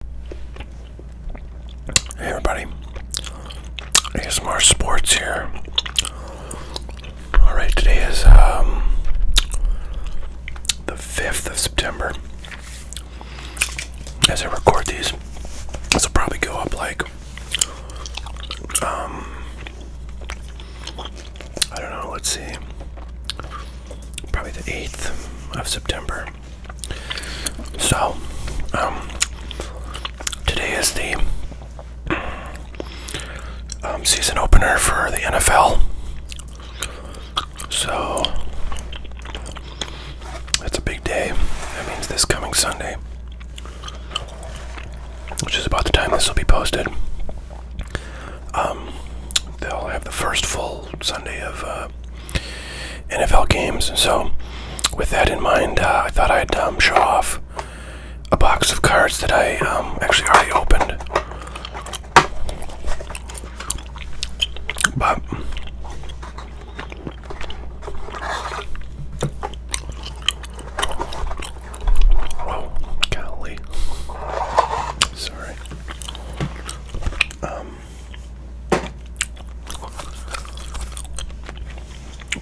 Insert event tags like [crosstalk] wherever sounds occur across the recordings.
Hey everybody, Some more Sports here. Alright, today is um, the 5th of September. As I record these, this will probably go up like, um, I don't know, let's see, probably the 8th of September. So, um, today is the um, season opener for the NFL. So, that's a big day. That means this coming Sunday, which is about the time this will be posted. Um, they'll have the first full Sunday of uh, NFL games. So, with that in mind, uh, I thought I'd um, show off a box of cards that I um, actually already opened. But oh, golly, sorry. Um,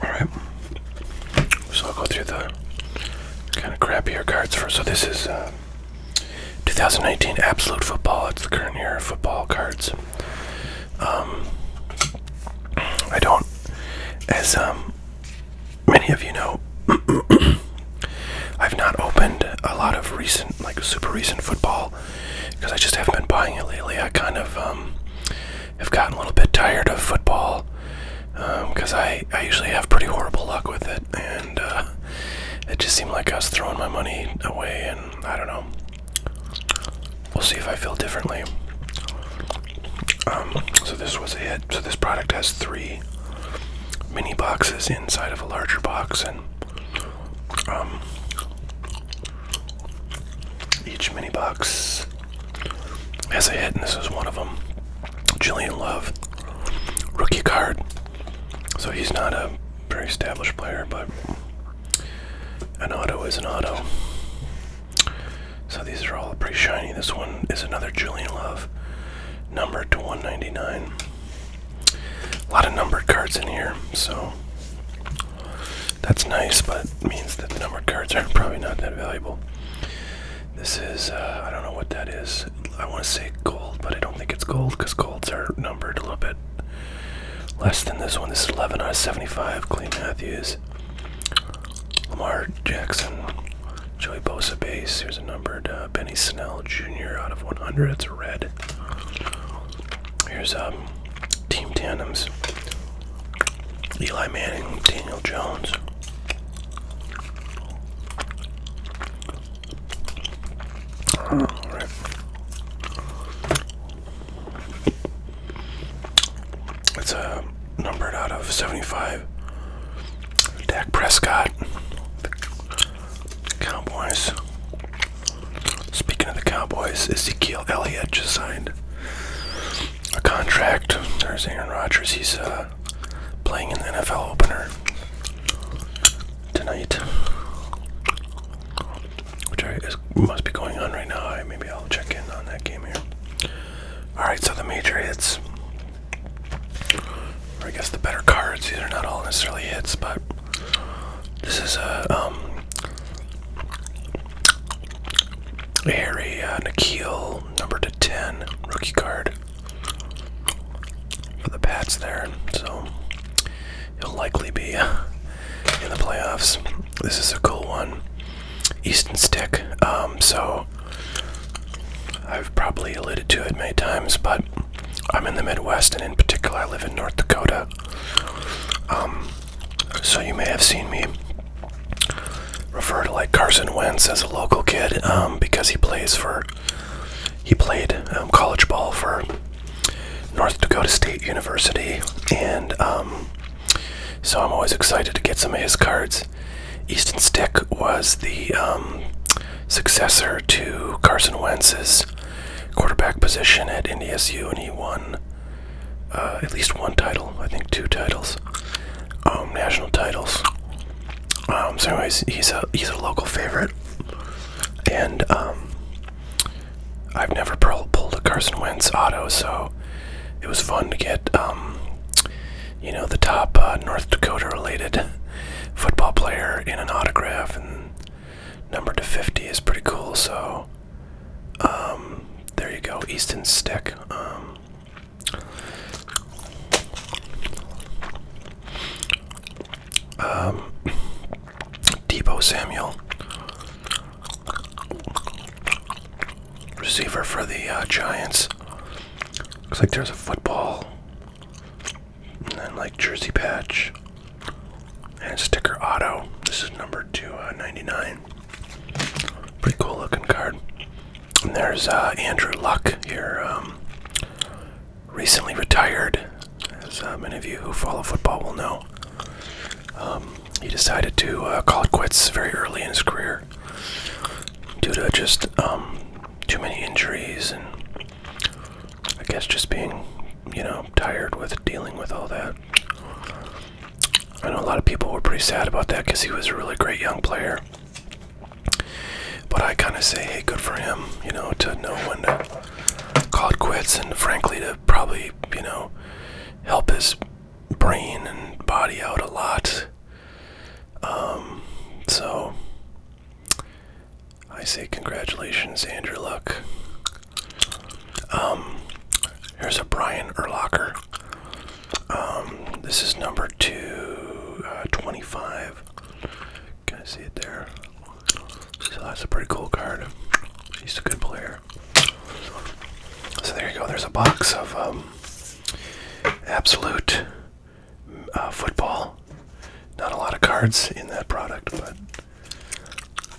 Alright. So I'll go through the kind of crappier cards first. So this is uh, 2019 Absolute Football. It's the current year of football cards. Um, I don't, as um, many of you know, [clears throat] I've not opened a lot of recent, like super recent football because I just haven't been buying it lately. I kind of um, have gotten a little bit tired of football because um, I, I usually have pretty horrible luck with it, and uh, it just seemed like I was throwing my money away, and I don't know. We'll see if I feel differently. Um, so this was a hit. So this product has three mini boxes inside of a larger box, and um, each mini box has a hit, and this is one of them. Julian Love, rookie card. So he's not a very established player, but an auto is an auto. So these are all pretty shiny. This one is another Julian Love, number to 199 a lot of numbered cards in here, so that's nice, but means that the numbered cards are probably not that valuable. This is, uh, I don't know what that is. I want to say gold, but I don't think it's gold because golds are numbered a little bit less than this one. This is 11 out of 75. Clay Matthews, Lamar Jackson, Joey Bosa base. Here's a numbered uh, Benny Snell Jr. out of 100. It's red. Here's um, team tandems Eli Manning, Daniel Jones. It's a uh, numbered out of 75. Dak Prescott, Cowboys. Speaking of the Cowboys, Ezekiel Elliott just signed a contract. There's Aaron Rodgers. He's uh, playing in the NFL opener tonight, which I, is, must be going on right now. I, maybe I'll check in on that game here. All right, so the major hits, I guess the better cards. These are not all necessarily hits, but this is a um, Harry uh, number to 10, rookie card for the Pats there. So he'll likely be uh, in the playoffs. This is a cool one. Easton Stick. Um, so I've probably alluded to it many times, but I'm in the Midwest, and in particular, I live in North Dakota. Um, so you may have seen me refer to like Carson Wentz as a local kid um, because he plays for he played um, college ball for North Dakota State University, and so I'm always excited to get some of his cards. Easton Stick was the successor to Carson Wentz's quarterback position at NDSU, and he won uh, at least one title. I think two titles, um, national titles. Um, so, anyways, he's a he's a local favorite, and um, I've never pulled a Carson Wentz auto, so it was fun to get you know the top uh, North Dakota related [laughs] football player in an autograph Number to 50 is pretty cool, so um, there you go, Easton Stick. Um, um Debo Samuel, receiver for the uh, Giants. Looks like there's a football and then like jersey patch and sticker auto. This is number 299. Uh, Pretty cool looking card. And there's uh, Andrew Luck here, um, recently retired, as uh, many of you who follow football will know. Um, he decided to call it quits very early in his career due to just um, too many injuries and I guess just being, you know, tired with dealing with all that. I know a lot of people were pretty sad about that because he was a really great young player. But I kind of say, hey, good for him, you know, to know when to call it quits and frankly to probably, you know, help his brain and body out a lot. Um, so I say congratulations, Andrew Luck. Um, here's a Brian Erlocker. Um, this is number two twenty-five. uh, twenty-five. Can I see it there? So that's a pretty cool card. He's a good player. So there you go. There's a box of um, absolute uh, football. Not a lot of cards in that product, but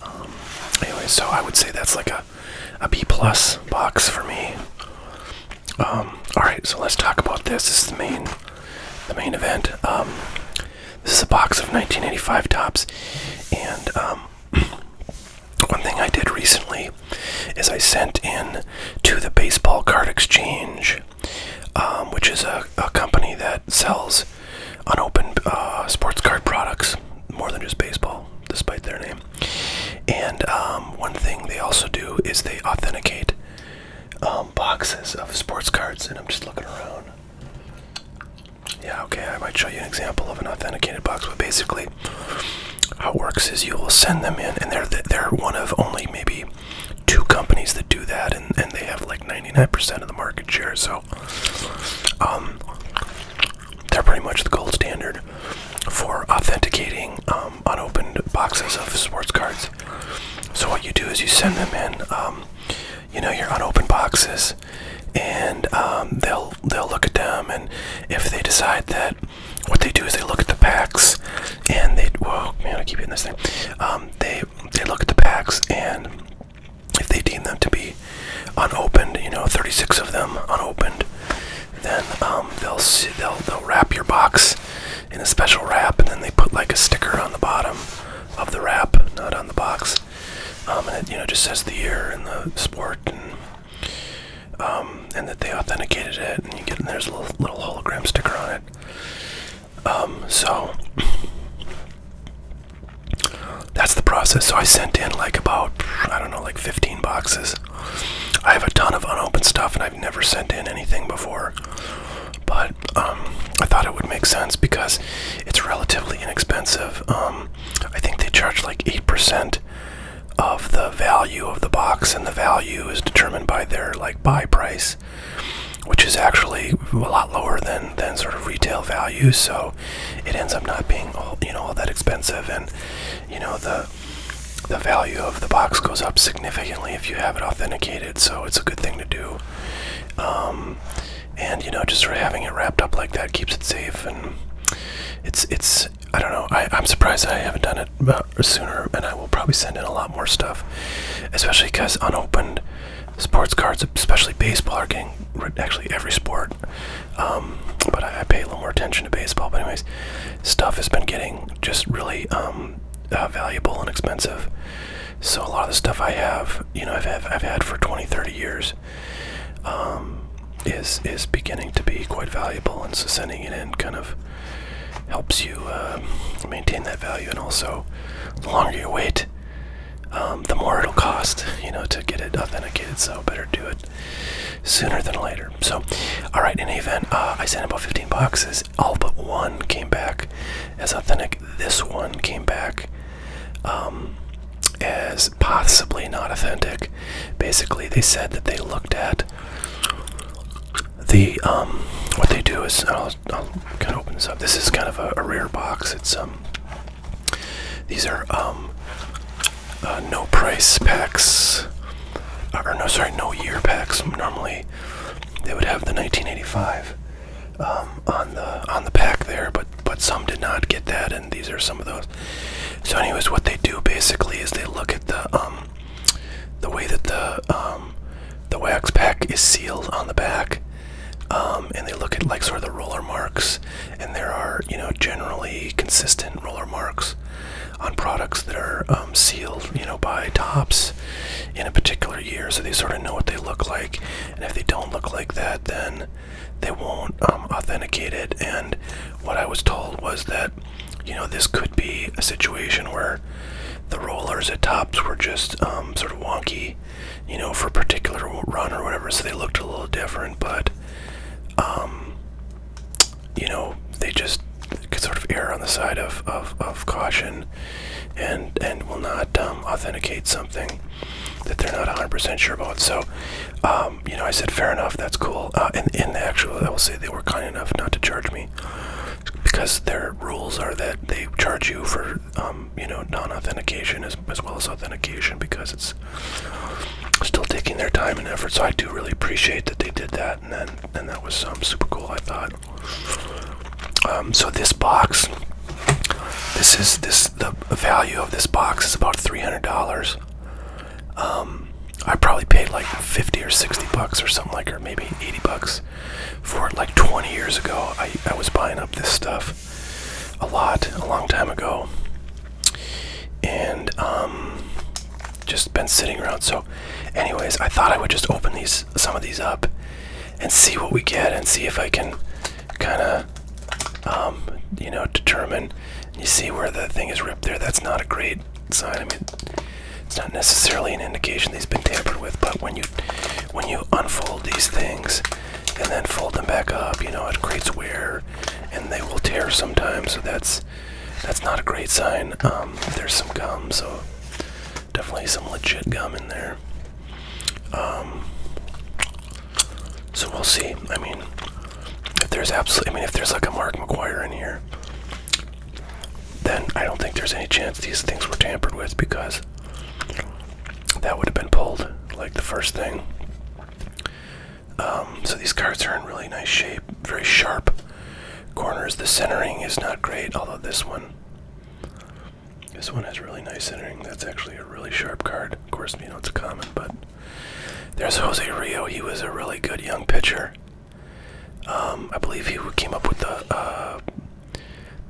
um, anyway, so I would say that's like a, a B plus box for me. Um, all right, so let's talk about this. This is the main, the main event. Um, this is a box of 1985 tops, and [clears throat] one thing I did recently is I sent in to the Baseball Card Exchange, which is a company that sells unopened uh, sports card products, more than just baseball, despite their name. And um, one thing they also do is they authenticate um, boxes of sports cards. And I'm just looking around. Yeah, okay, I might show you an example of an authenticated box, but basically, how it works is you will send them in, and they're they're one of only maybe two companies that do that, and, and they have like 99% of the market share. So um, they're pretty much the gold standard for authenticating um, unopened boxes of sports cards. So what you do is you send them in, um, you know, your unopened boxes, and um, they'll they'll look at them, and if they decide that, what they do is they look at the packs, and they, whoa, I keep hitting this thing. Um, they they look at the packs and if they deem them to be unopened, you know, 36 of them unopened, then um, they'll, they'll they'll wrap your box in a special wrap, and then they put like a sticker on the bottom of the wrap, not on the box, um, and it you know just says the year and the sport, and um, that they authenticated it, and you get and there's a little hologram sticker on it. Um, so that's the process. So I sent in like about, I don't know, like 15 boxes. I have a ton of unopened stuff and I've never sent in anything before. But um, I thought it would make sense because it's relatively inexpensive. Um, I think they charge like 8% of the value of the box and the value is determined by their like buy price which is actually a lot lower than than sort of retail value. So it ends up not being all you know all that expensive, and you know the the value of the box goes up significantly if you have it authenticated. So it's a good thing to do. Um, and you know, just sort of having it wrapped up like that keeps it safe, and it's it's I don't know. I, I'm surprised I haven't done it uh, sooner, and I will probably send in a lot more stuff, especially because unopened sports cards, especially baseball, are getting actually every sport. Um, but I, pay a little more attention to baseball. But anyways, stuff has been getting just really um, uh, valuable and expensive. So a lot of the stuff I have, you know, I've have, had for 20, 30 years, um, is is beginning to be quite valuable, and so sending it in kind of helps you uh, maintain that value. And also, the longer you wait, um, the more it'll cost, you know, to get it authenticated. So better do it sooner than later. So, all right. In any event, uh, I sent about 15 boxes. All but one came back as authentic. This one came back um, as possibly not authentic. Basically, they said that they looked at the um, what they do is I'll, kind of open this up. This is kind of a, a rare box. It's um, these are um, uh, no price packs, uh, or no, sorry, no year packs. Normally, they would have the 1985 um, on the on the pack there, but but some did not get that, and these are some of those. So, anyways, what they do basically is they look at the um, the way that the um, the wax pack is sealed on the back um, and they look at like sort of the roller marks, and there are you know generally consistent roller marks on products that are um, sealed you know by tops in a particular year, so they sort of know what they look like, and if they don't look like that, then they won't um, authenticate it. And what I was told was that you know this could be a situation where the rollers at tops were just sort of wonky you know, for a particular run or whatever. So they looked a little different, but, um, you know, they just sort of err on the side of, of, caution and, and will not um, authenticate something that they're not 100% sure about. So, um, you know, I said, fair enough, that's cool. Uh, and actually, I will say they were kind enough not to charge me because their rules are that they charge you for um, you know non-authentication as, well as authentication because it's still taking their time and effort. So I do really appreciate that they did that, and then and that was um, super cool. I thought. Um, so this box, this is this the value of this box is about three hundred dollars. I probably paid like 50 or 60 bucks or something like, or maybe 80 bucks for it like 20 years ago. I, I was buying up this stuff a lot a long time ago and um, just been sitting around so anyways i thought i would just open these some of these up and see what we get and see if i can kind of um, you know determine you see where the thing is ripped there that's not a great sign i mean it's not necessarily an indication these has been tampered with but when you when you unfold these things and then fold them back up. You know, it creates wear, and they will tear sometimes. So that's that's not a great sign. Um, there's some gum, so definitely some legit gum in there. Um, so we'll see. I mean, if there's absolutely, I mean, if there's like a Mark McGuire in here, then I don't think there's any chance these things were tampered with because that would have been pulled like the first thing. Um, so these cards are in really nice shape, very sharp corners. The centering is not great, although this one, this one has really nice centering. That's actually a really sharp card. Of course, you know it's a common, but there's Jose Rio. He was a really good young pitcher. Um, I believe he came up with the uh,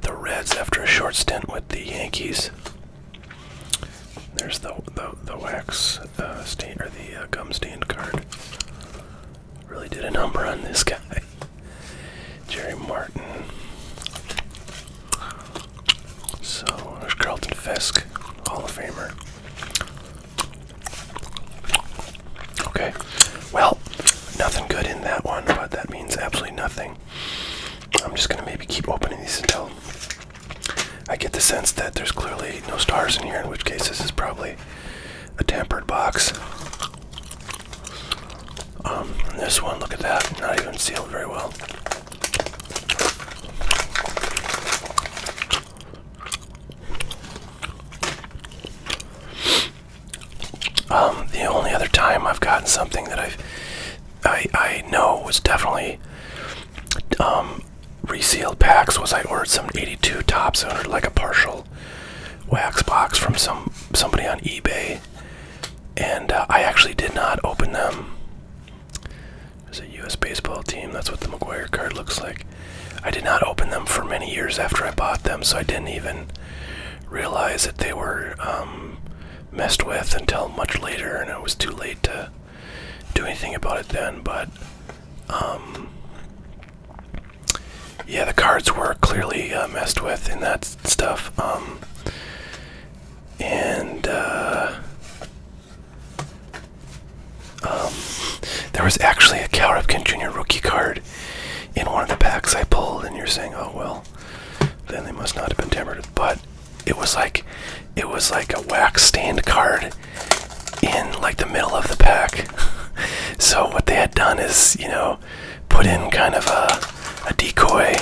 the Reds after a short stint with the Yankees. There's the the, the wax uh, stain or the uh, gum stand card. Really did a number on this guy, Jerry Martin. So there's Carlton Fisk, Hall of Famer. Okay, well, nothing good in that one, but that means absolutely nothing. I'm just gonna maybe keep opening these until I get the sense that there's clearly no stars in here, in which case this is probably a tampered box. Um, this one, look at that, not even sealed very well. Um, the only other time I've gotten something that I've I I know was definitely um, resealed packs was I ordered some 82 tops. or like a partial wax box from some somebody on eBay, and uh, I actually did not open them. It's a U.S. baseball team. That's what the McGuire card looks like. I did not open them for many years after I bought them, so I didn't even realize that they were um, messed with until much later, and it was too late to do anything about it then. But um, yeah, the cards were clearly uh, messed with in that stuff. Um, and uh, um, there was actually a Cal Ripken Jr. rookie card in one of the packs I pulled, and you're saying, "Oh well, then they must not have been tampered. with, But it was like it was like a wax stained card in like the middle of the pack. [laughs] so what they had done is, you know, put in kind of a, a decoy,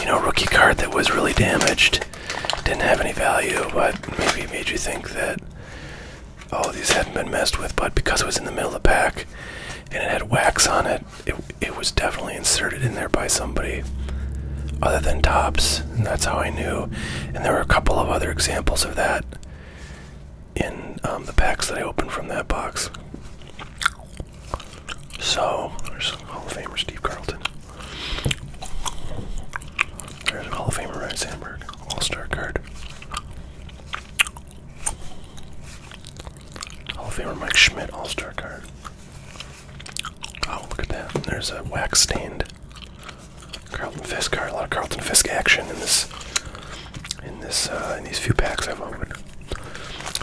you know, rookie card that was really damaged, didn't have any value, but maybe made you think that oh these hadn't been messed with, but because it was in the middle of the pack and it had wax on it, it, was definitely inserted in there by somebody other than Tops, and that's how I knew. And there were a couple of other examples of that in um, the packs that I opened from that box. So, there's Hall of Famer Steve Carlton. There's Hall of Famer Ryan Sandberg, All Star card. Hall of Famer Mike Schmidt All Star card. Oh, look at that. There's a wax stained Carlton Fisk card. A lot of Carlton Fisk action in this, in this, uh, in these few packs I've opened.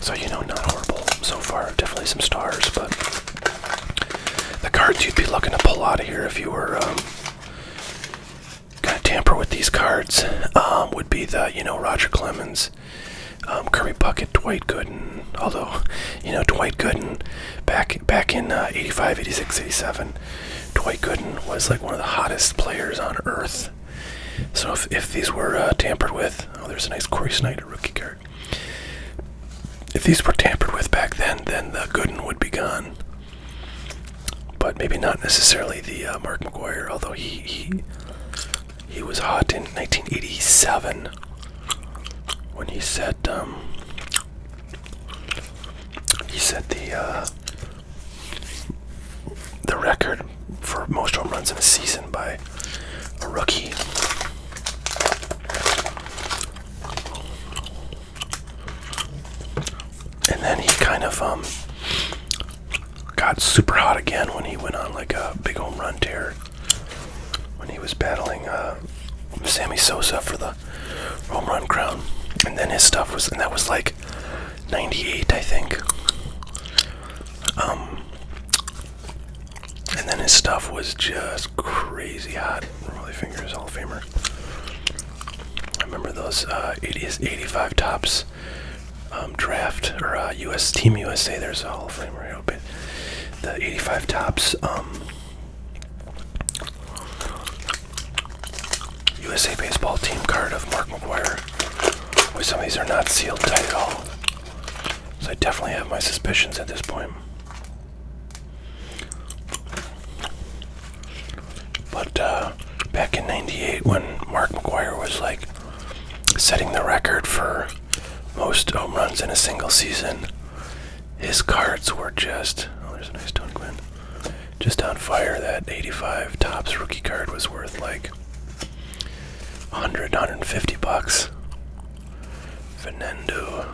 So you know, not horrible so far. Definitely some stars, but the cards you'd be looking to pull out of here if you were um, gonna tamper with these cards um, would be the, you know, Roger Clemens um, Kermit Bucket, Dwight Gooden. Although, you know, Dwight Gooden back back in uh, 85, 86, 87, Dwight Gooden was like one of the hottest players on earth. So if, if these were uh, tampered with, oh, there's a nice Corey Snyder rookie card. If these were tampered with back then, then the Gooden would be gone. But maybe not necessarily the uh, Mark McGuire, although he, he he was hot in 1987 when he said um, he said the uh, the record for most home runs in a season by a rookie. And then he kind of um got super hot again when he went on like a big home run tear when he was battling uh, Sammy Sosa for the home run crown. And then his stuff was, and that was like 98, I think. Um, and then his stuff was just crazy hot. Really fingers Hall of Famer. I remember those. Uh, 85 tops um, draft or U.S. Uh, team USA. There's a Hall of Famer. I hope it. The '85 tops USA um, baseball team card of Mark McGuire. some of these are not sealed tight at all. So I definitely have my suspicions at this point. But uh, back in '98, when Mark McGuire was like setting the record for most home runs in a single season. His cards were just oh, there's a nice Tony Gwynn. Just on fire. That 85 tops rookie card was worth like 100, 150 bucks. Fernando.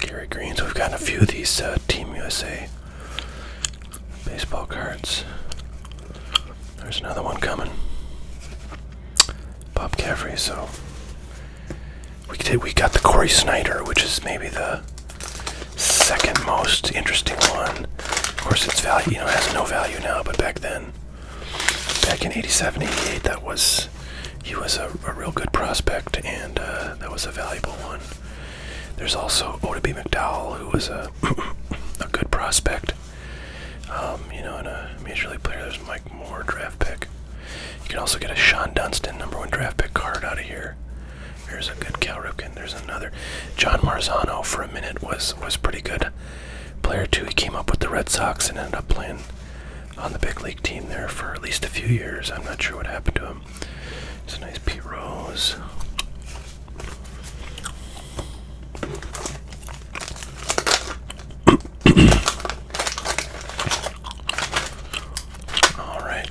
Gary Greens, we've got a few of these uh, Team USA baseball cards. There's another one coming. Bob Caffrey, so we did, we got the Corey Snyder, which is maybe the second most interesting one. Of course, its value, you know, has no value now, but back then, back in 87, 88, that was, he was a, real good prospect, and uh, that was a valuable one. There's also Oda B. McDowell, who was a, [coughs] a good prospect. Um, you know, in a major league player, there's Mike Moore draft pick. You can also get a Sean Dunston number one draft pick card out of here. There's a good Cal Ripken. There's another. John Marzano for a minute was was pretty good player too. He came up with the Red Sox and ended up playing on the big league team there for at least a few years. I'm not sure what happened to him. It's a nice Pete Rose. All right.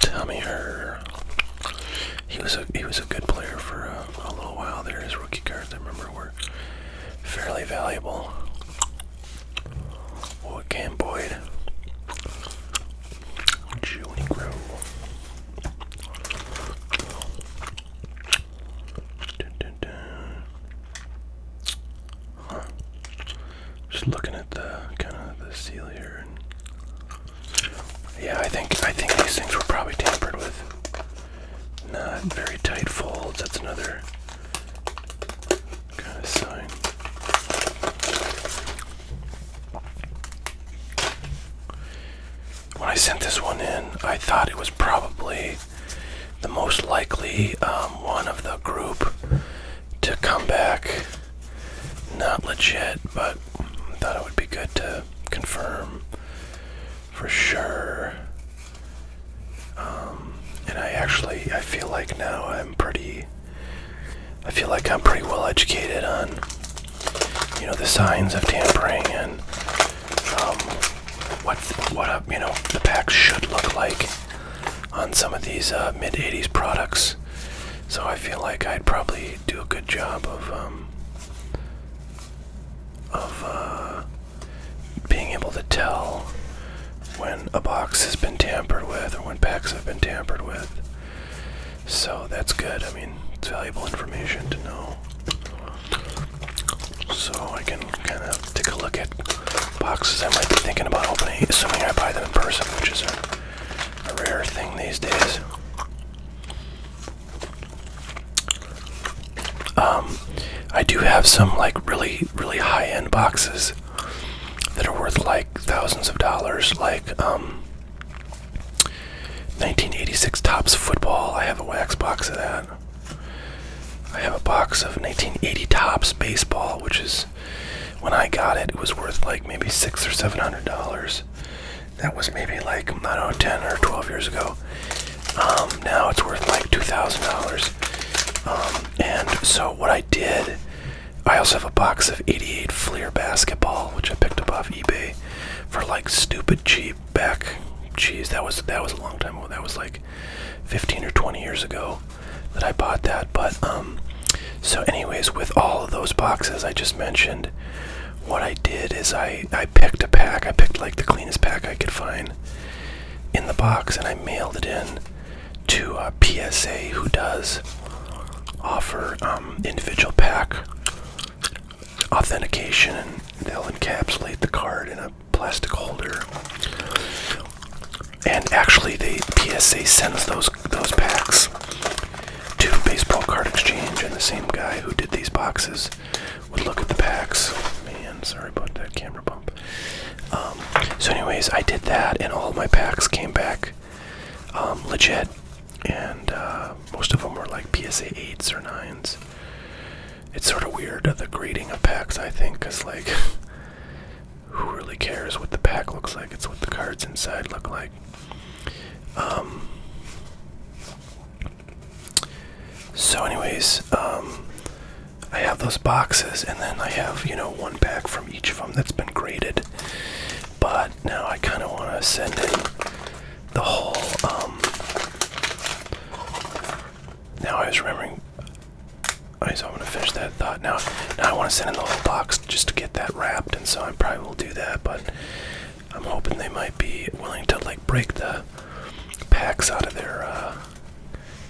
Tommy Herr. He was a he was a good player for a, uh, a little while there. His rookie cards, I remember, were fairly valuable. Or Cam Boyd. Junie Grow. Dun, dun, dun. Just looking at the kind of the seal here, yeah, I think I think these things were probably tampered with. Not very tight folds. That's another when I sent this one in, I thought it was probably the most likely um, one of the group to come back. Not legit, but I thought it would be good to confirm for sure. Um, and I actually, I feel like now I'm pretty I feel like I'm pretty well educated on, you know, the signs of tampering and um, what what you know the packs should look like on some of these uh, mid '80s products. So I feel like I'd probably do a good job of um, of uh, being able to tell when a box has been tampered with or when packs have been tampered with. So that's good. I mean, it's valuable information to know. So I can kind of take a look at boxes I might be thinking about opening, assuming I buy them in person, which is a, rare thing these days. Um, I do have some like really, really high-end boxes that are worth like thousands of dollars, like 1986 um, tops football. I have a wax box of that. I have a box of 1980 tops baseball, which is when I got it, it was worth like maybe six or seven hundred dollars. That was maybe like I don't know, ten or twelve years ago. Um, now it's worth like two thousand dollars. Um, and so what I did I also have a box of 88 Fleer basketball, which I picked up off eBay for like stupid cheap back. jeez, that was that was a long time ago. That was like 15 or 20 years ago that I bought that. But um, so anyways, with all of those boxes I just mentioned, what I did is I I picked a pack. I picked like the cleanest pack I could find in the box, and I mailed it in to uh, PSA, who does offer um, individual pack authentication, and they'll encapsulate the card in a plastic holder. And actually, the PSA sends those those packs to Baseball Card Exchange, and the same guy who did these boxes would look at the packs. Man, sorry about that camera. Um, so, anyways, I did that, and all my packs came back um, legit, and uh, most of them were like PSA 8s or 9s. It's sort of weird the grading of packs, I think, because, like, [laughs] who really cares what the pack looks like? It's what the cards inside look like. Um, so, anyways, I have those boxes, and then I have, you know, one pack from each of them that's been graded. But now I kind of want to send in the whole. Um, now I was remembering. Okay, so I'm gonna finish that thought now. I want to send in the whole box just to get that wrapped, and so I probably will do that. But I'm hoping they might be willing to like break the packs out of their uh,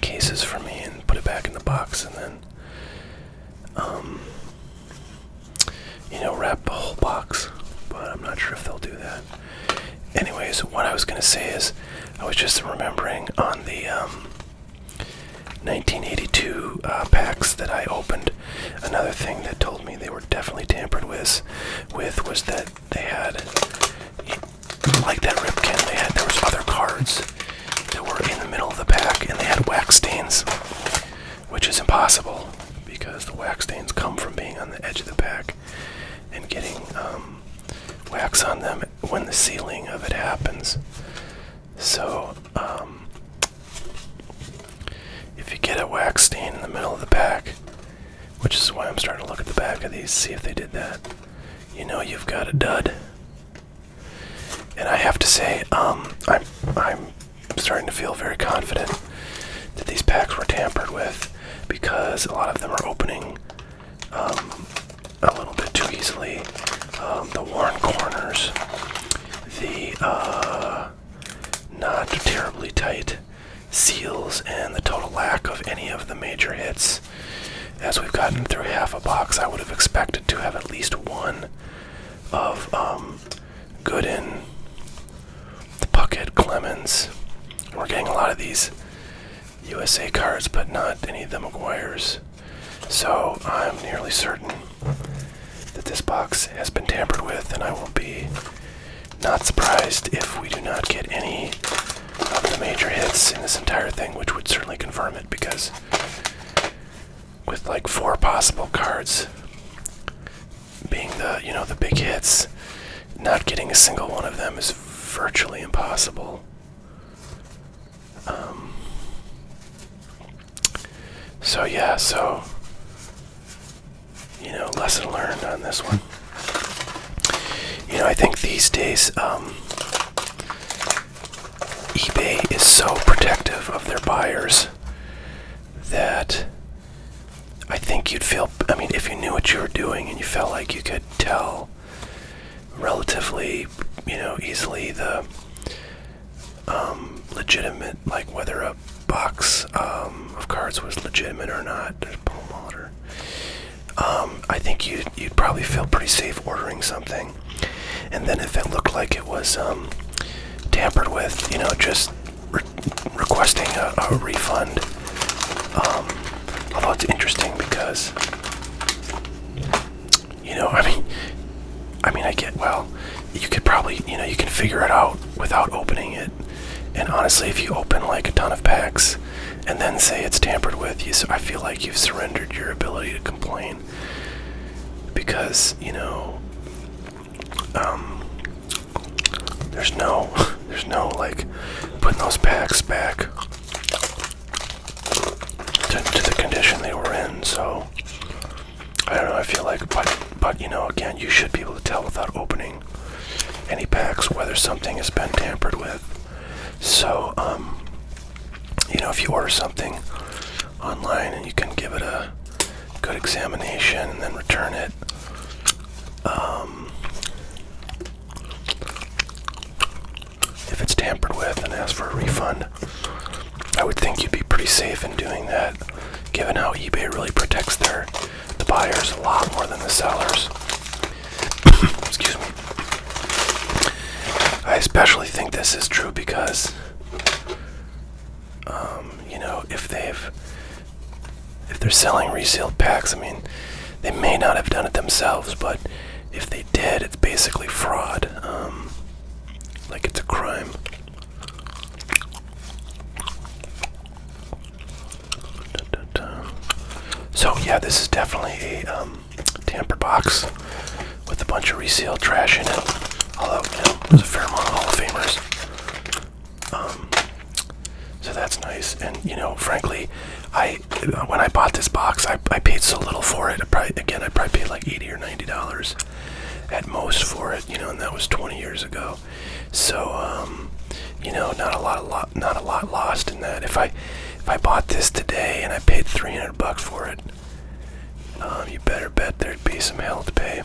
cases for me and put it back in the box, and then um, you know wrap the whole box but i'm not sure if they'll do that anyways what i was going to say is i was just remembering on the 1982 um, uh, packs that i opened another thing that told me they were definitely tampered with with was that they had like that ripkin they had there was other cards that were in the middle of the pack and they had wax stains, which is impossible because the wax stains come from being on the edge of the pack and getting um, wax on them when the sealing of it happens. So, um, if you get a wax stain in the middle of the pack, which is why I'm starting to look at the back of these, see if they did that, you know you've got a dud. And I have to say, um, I'm I'm starting to feel very confident that these packs were tampered with because a lot of them are opening um, a little bit too easily. Um, the worn corners, the uh, not terribly tight seals, and the total lack of any of the major hits as we've gotten through half a box, I would have expected to have at least one of um, Gooden, Puckett, Clemens. We're getting a lot of these USA cards, but not any of the McGuire's. So I'm nearly certain that this box has been tampered with, and I will be not surprised if we do not get any of the major hits in this entire thing, which would certainly confirm it because with like four possible cards being the you know the big hits not getting a single one of them is virtually impossible um, so yeah so you know lesson learned on this one you know i think these days um, eBay is so protective of their buyers that I think you'd feel, I mean, if you knew what you were doing and you felt like you could tell relatively, you know, easily the um, legitimate, like whether a box um, of cards was legitimate or not. There's palm water. Um, I think you'd, you'd probably feel pretty safe ordering something and then if it looked like it was um, tampered with, you know, just requesting a, refund. Um, although it's interesting because, you know, I mean, I mean, I get well. You could probably, you know, you can figure it out without opening it. And honestly, if you open like a ton of packs and then say it's tampered with, you, I feel like you've surrendered your ability to complain because you know um, there's no [laughs] there's no like putting those packs back to, to the condition they were in so I don't know I feel like but but you know again you should be able to tell without opening any packs whether something has been tampered with so um you know, if you order something online and you can give it a good examination and then return it. Um, if it's tampered with and ask for a refund, I would think you'd be pretty safe in doing that, given how eBay really protects their the buyers a lot more than the sellers. [coughs] Excuse me. I especially think this is true because, um, you know, if they've, if they're selling resealed packs, I mean, they may not have done it themselves, but if they did, it's basically fraud. Um, like it's a crime. So yeah, this is definitely a um, tamper box with a bunch of resealed trash in it. Although there's a fair amount of Hall of Famers. Um, so that's nice. And you know, frankly, I when I bought this box, I, I paid so little for it. again, I probably paid like eighty or ninety dollars at most for it. You know, and that was twenty years ago. So um, you know, not a lot, lot, not a lot lost in that. If I if I bought this today and I paid three hundred bucks for it. Um, you better bet there'd be some hell to pay.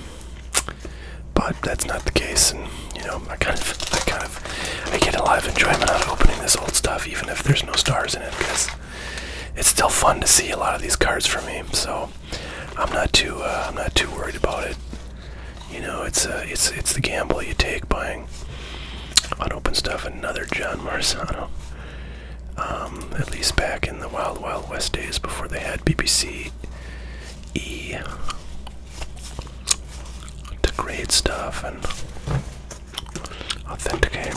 But that's not the case, and you know, I kind of, I kind of, I get a lot of enjoyment out of opening this old stuff, even if there's no stars in it, because it's still fun to see a lot of these cards for me. So I'm not too, uh, I'm not too worried about it. You know, it's, uh, it's, it's the gamble you take buying unopened stuff. Another John Marzano. Um, at least back in the Wild Wild West days before they had BBC E degrade stuff and authenticate.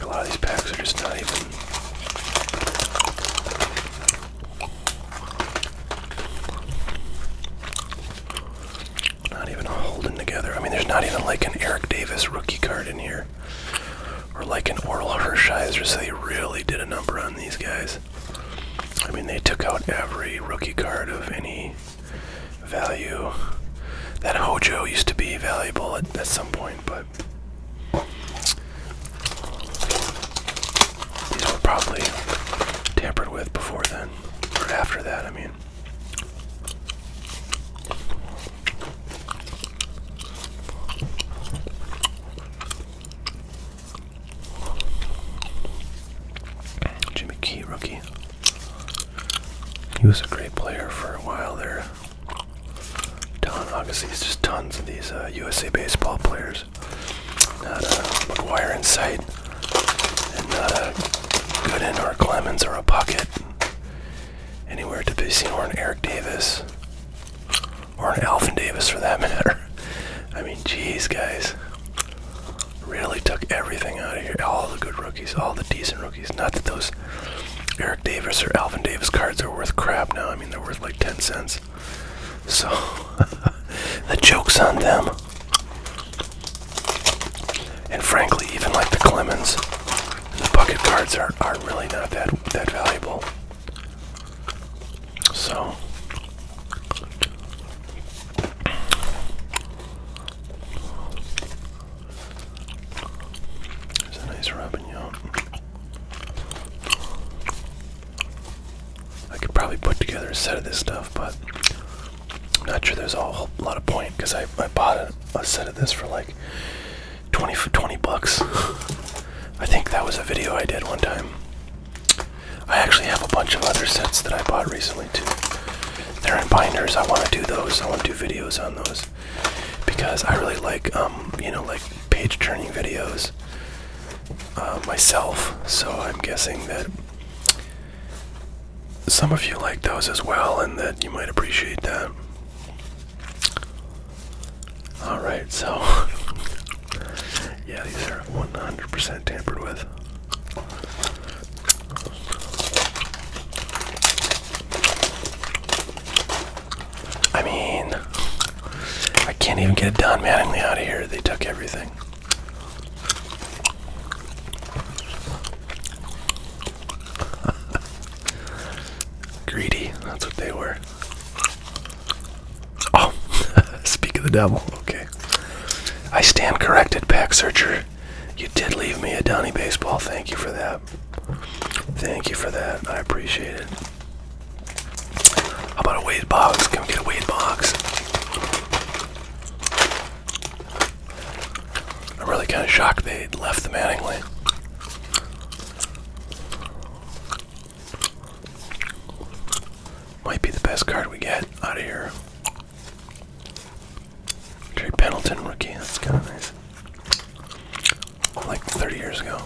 a lot of these packs are just not even. Not even holding together. I mean, there's not even like an Eric Davis rookie card in here, or like an Oral Hershiser. So they really did a number on these guys. I mean, they took out every rookie card of any value. That Hojo used to be valuable at some point, but these were probably tampered with before then, or after that. I mean. Jimmy Key, rookie. He was a great player for a while there. Don, obviously, there's just tons of these uh, USA baseball players. Not a uh, McGuire in sight, and not a uh, Gooden or a Clemens or a Puckett anywhere to be seen, or an Eric Davis, or an Alvin Davis for that [laughs] matter. I mean, jeez, guys, really took everything out of here. All the good rookies, all the decent rookies. Not that those Eric Davis or Alvin Davis cards are worth crap now. I mean, they're worth like 10 cents. So [laughs] the joke's on them. And frankly, even like the Clemens, the bucket cards are, are really not that that valuable. So there's a nice rubbing yawn. I could probably put together a set of this stuff, but I'm not sure there's a whole lot of point because I, I bought a, set of this for like 20 for 20 bucks. I think that was a video I did one time. I actually have a bunch of other sets that I bought recently too. They're in binders. I want to do those. I want to do videos on those because I really like, um, you know, like page turning videos uh, myself. So I'm guessing that some of you like those as well, and that you might appreciate that. Alright, so. [laughs] yeah, these are 100% tampered with. I mean, I can't even get Don Mattingly out of here. They took everything. Greedy, that's what they were. Oh, [laughs] speak of the devil. Okay. I stand corrected, Pack Searcher. You did leave me a Donny Baseball. Thank you for that. Thank you for that. I appreciate it. How about a weight box? Can we get a weight box? I'm really kind of shocked they left the Mattingly. Might be the best card we get out of here. Trey Pendleton rookie, that's kind of nice. Like 30 years ago.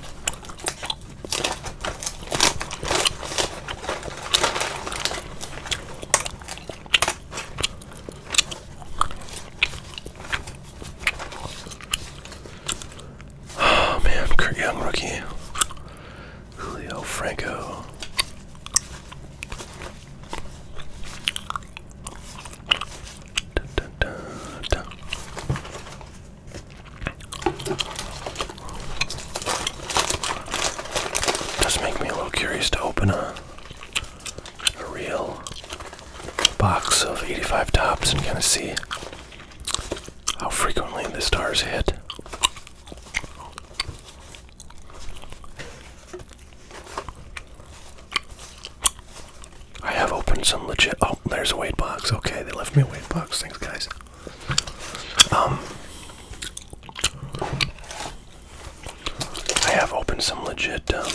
Oh man, Kurt Young rookie. Julio Franco. Da, Does make me a little curious to open a a real box of 85 tops and kind of see how frequently the stars hit. I have opened some legit. Oh, there's a weight box. Okay, they left me a weight box. Thanks, guys. Um, I have opened some legit um,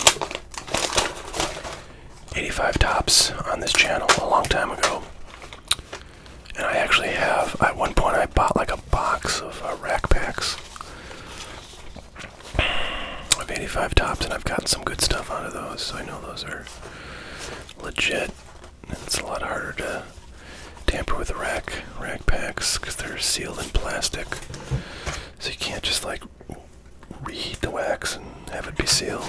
85 tops on this channel a long time ago. And I actually have, at one point, I bought like a box of uh, rack packs of 85 tops, and I've gotten some good stuff out of those, so I know those are legit. It's a lot harder to tamper with rack rack packs because they're sealed in plastic. So you can't just like reheat the wax and have it be sealed.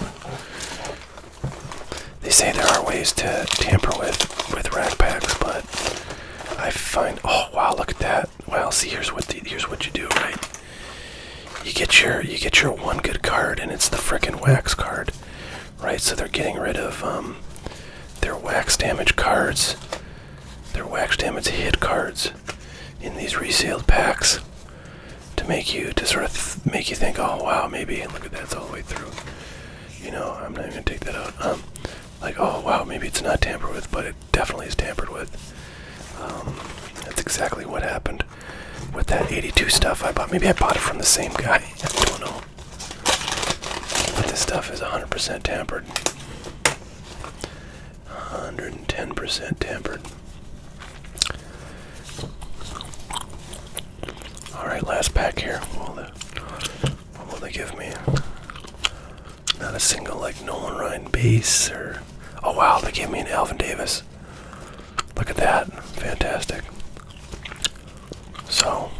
They say there are ways to tamper with with rack packs, but I find oh wow look at that. Well see here's what here's what you do, right? You get your you get your one good card and it's the fricking wax card. Right? So they're getting rid of um their wax damaged cards they're wax damage hit cards in these resealed packs to make you to sort of make you think, oh wow, maybe look at that's all the way through. You know, I'm not even gonna take that out. Um, like, oh wow, maybe it's not tampered with, but it definitely is tampered with. Um, that's exactly what happened with that 82 stuff I bought. Maybe I bought it from the same guy. [laughs] I don't know. But this stuff is 100% tampered. 110% tampered. Alright, last pack here. What will, they, will give me? Not a single, like, Nolan Ryan base or. Oh wow, they gave me an Alvin Davis. Look at that. Fantastic. So,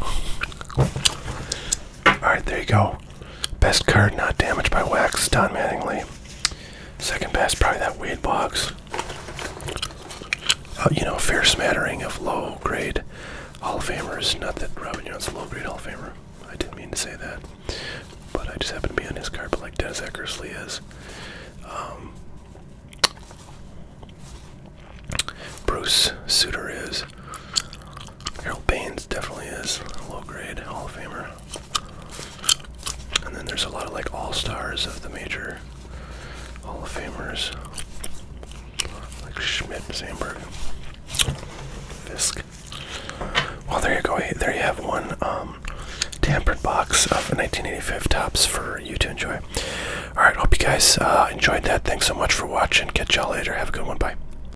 Alright, there you go. Best card not damaged by wax, Don Mattingly. Second best, probably that weed box. Uh, you know, fair smattering of low grade Hall of Famers. Not that Robin Young's a low grade Hall of Famer. I didn't mean to say that. But I just happen to be on his card, but like Dennis Eckersley is. Um, Bruce Suter is. Harold Baines definitely is a low grade Hall of Famer. And then there's a lot of like all stars of the major Hall of Famers. Like Schmidt, Sandberg, Fisk. Well, there you go. There you have one um, tampered box of 1985 tops for you to enjoy. All right, hope you guys uh, enjoyed that. Thanks so much for watching. Catch y'all later. Have a good one. Bye.